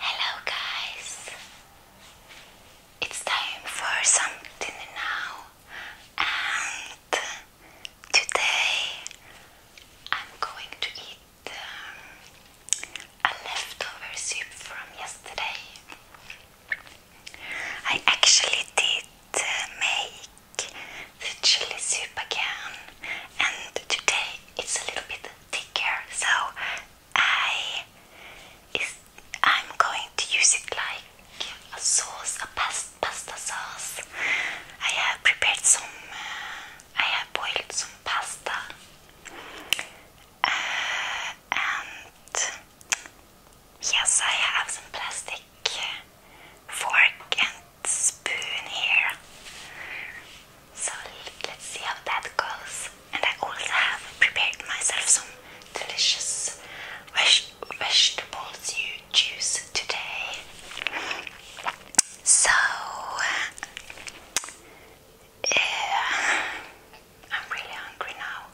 Hello, guys! It's time for something now, and today I'm going to eat um, a leftover soup from yesterday. I actually did uh, make the chili soup again, and today it's a little bit thicker, so I is I'm going to use it like a sauce, a pasta, sauce. I have prepared some. Uh, I have boiled some pasta, uh, and yes, I have some plastic fork and spoon here. So let's see how that goes. And I also have prepared myself some delicious vegetables you juice today. So yeah, I'm really hungry now.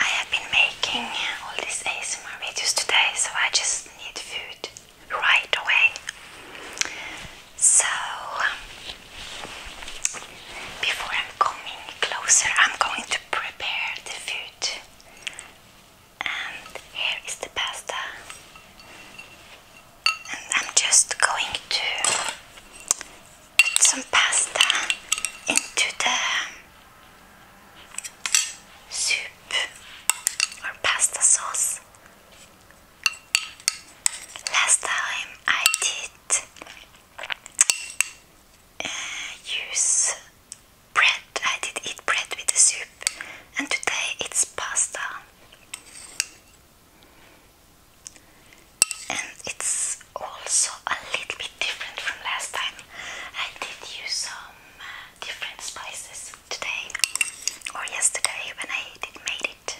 I have been making all these ASMR videos today, so I just need food right away. So, before I'm coming closer, I'm going to prepare the food. And here is the pasta. And I'm just going to put some pasta into the soup or pasta sauce. Last time I did uh, use bread, I did eat bread with the soup, and today it's pasta. And it's also a little bit different from last time. I did use some uh, different spices today or yesterday when I did made it.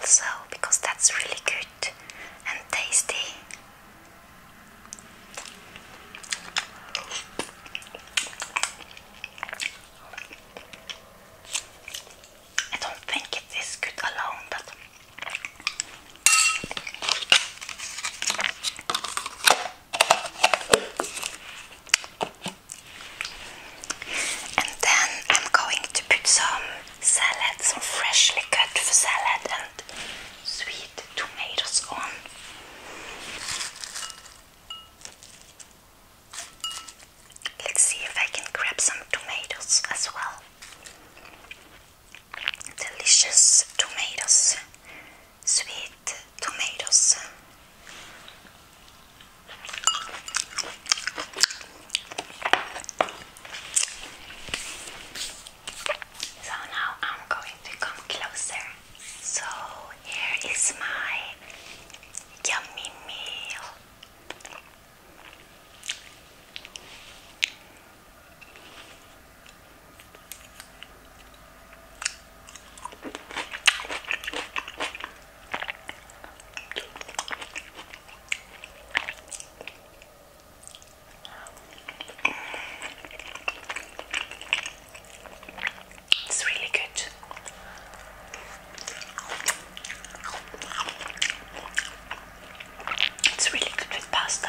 Also, because that's really good and tasty. I don't think it is good alone, but and then I'm going to put some salad, some freshly cut salad and sweet tomatoes on. Let's see if I can grab some tomatoes as well. Delicious tomatoes, sweet tomatoes. So now I'm going to come closer. So here is my yummy meal. It's really good. It's really good with pasta.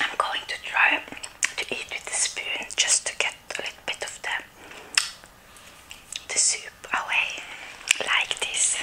I'm going to try to eat with the spoon just to get a little bit of the the soup away like this.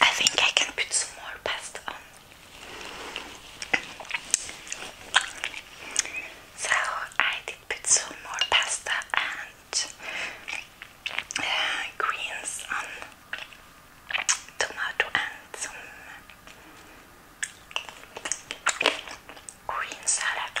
I think I can put some more pasta on so I did put some more pasta and uh, greens tomato and some green salad.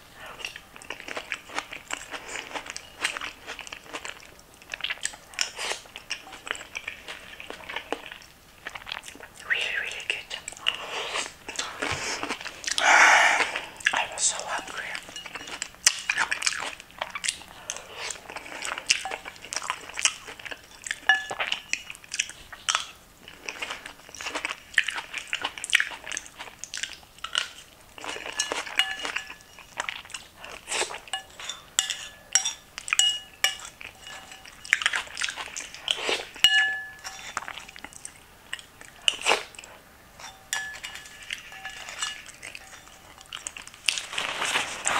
Really, really good. I was so hungry. Now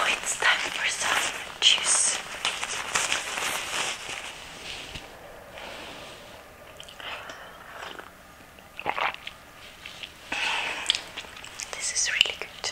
oh, it's time for some juice. This is really good.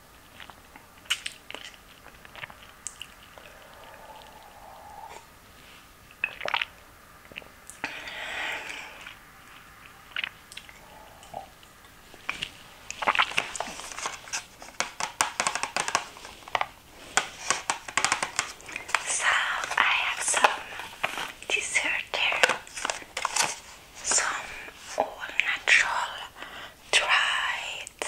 So I have some dessert here, some all natural dried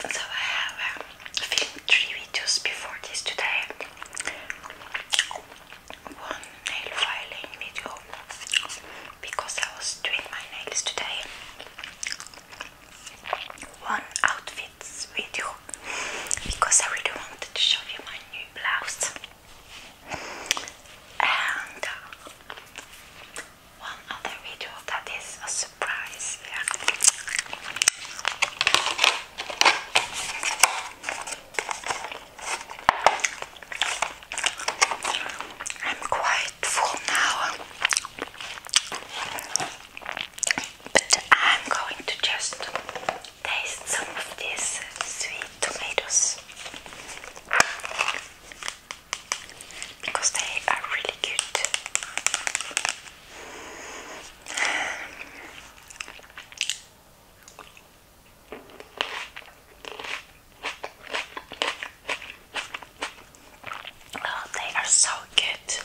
So I have uh, filmed three videos before this today one nail filing video because I was doing my nails today. One outfit video because I really wanted to show you my new blouse. And uh, one other video that is a surprise. Yeah. I'm quite full now, but I'm going to just taste some of these sweet tomatoes because they are really good. Oh, they are so good.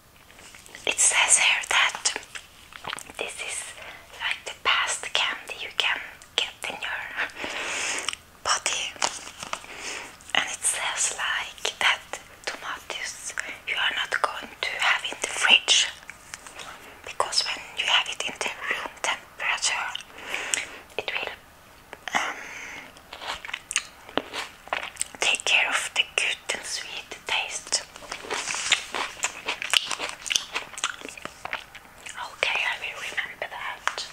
It says here that this is like the best candy you can get in your body, and it says like that tomatoes you are not going to have in the fridge because when you have it in the room temperature, it will um, take care of the good and sweet to taste. Okay, I will remember that.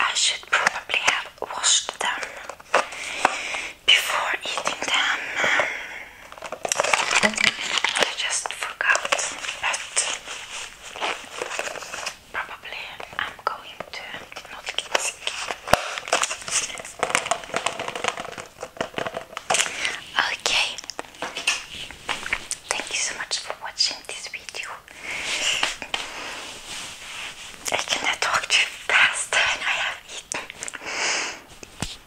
I should probably have washed them before eating them. I just forgot, but probably I'm going to not get sick. Okay, thank you so much for watching this video. I cannot talk too fast and I have eaten.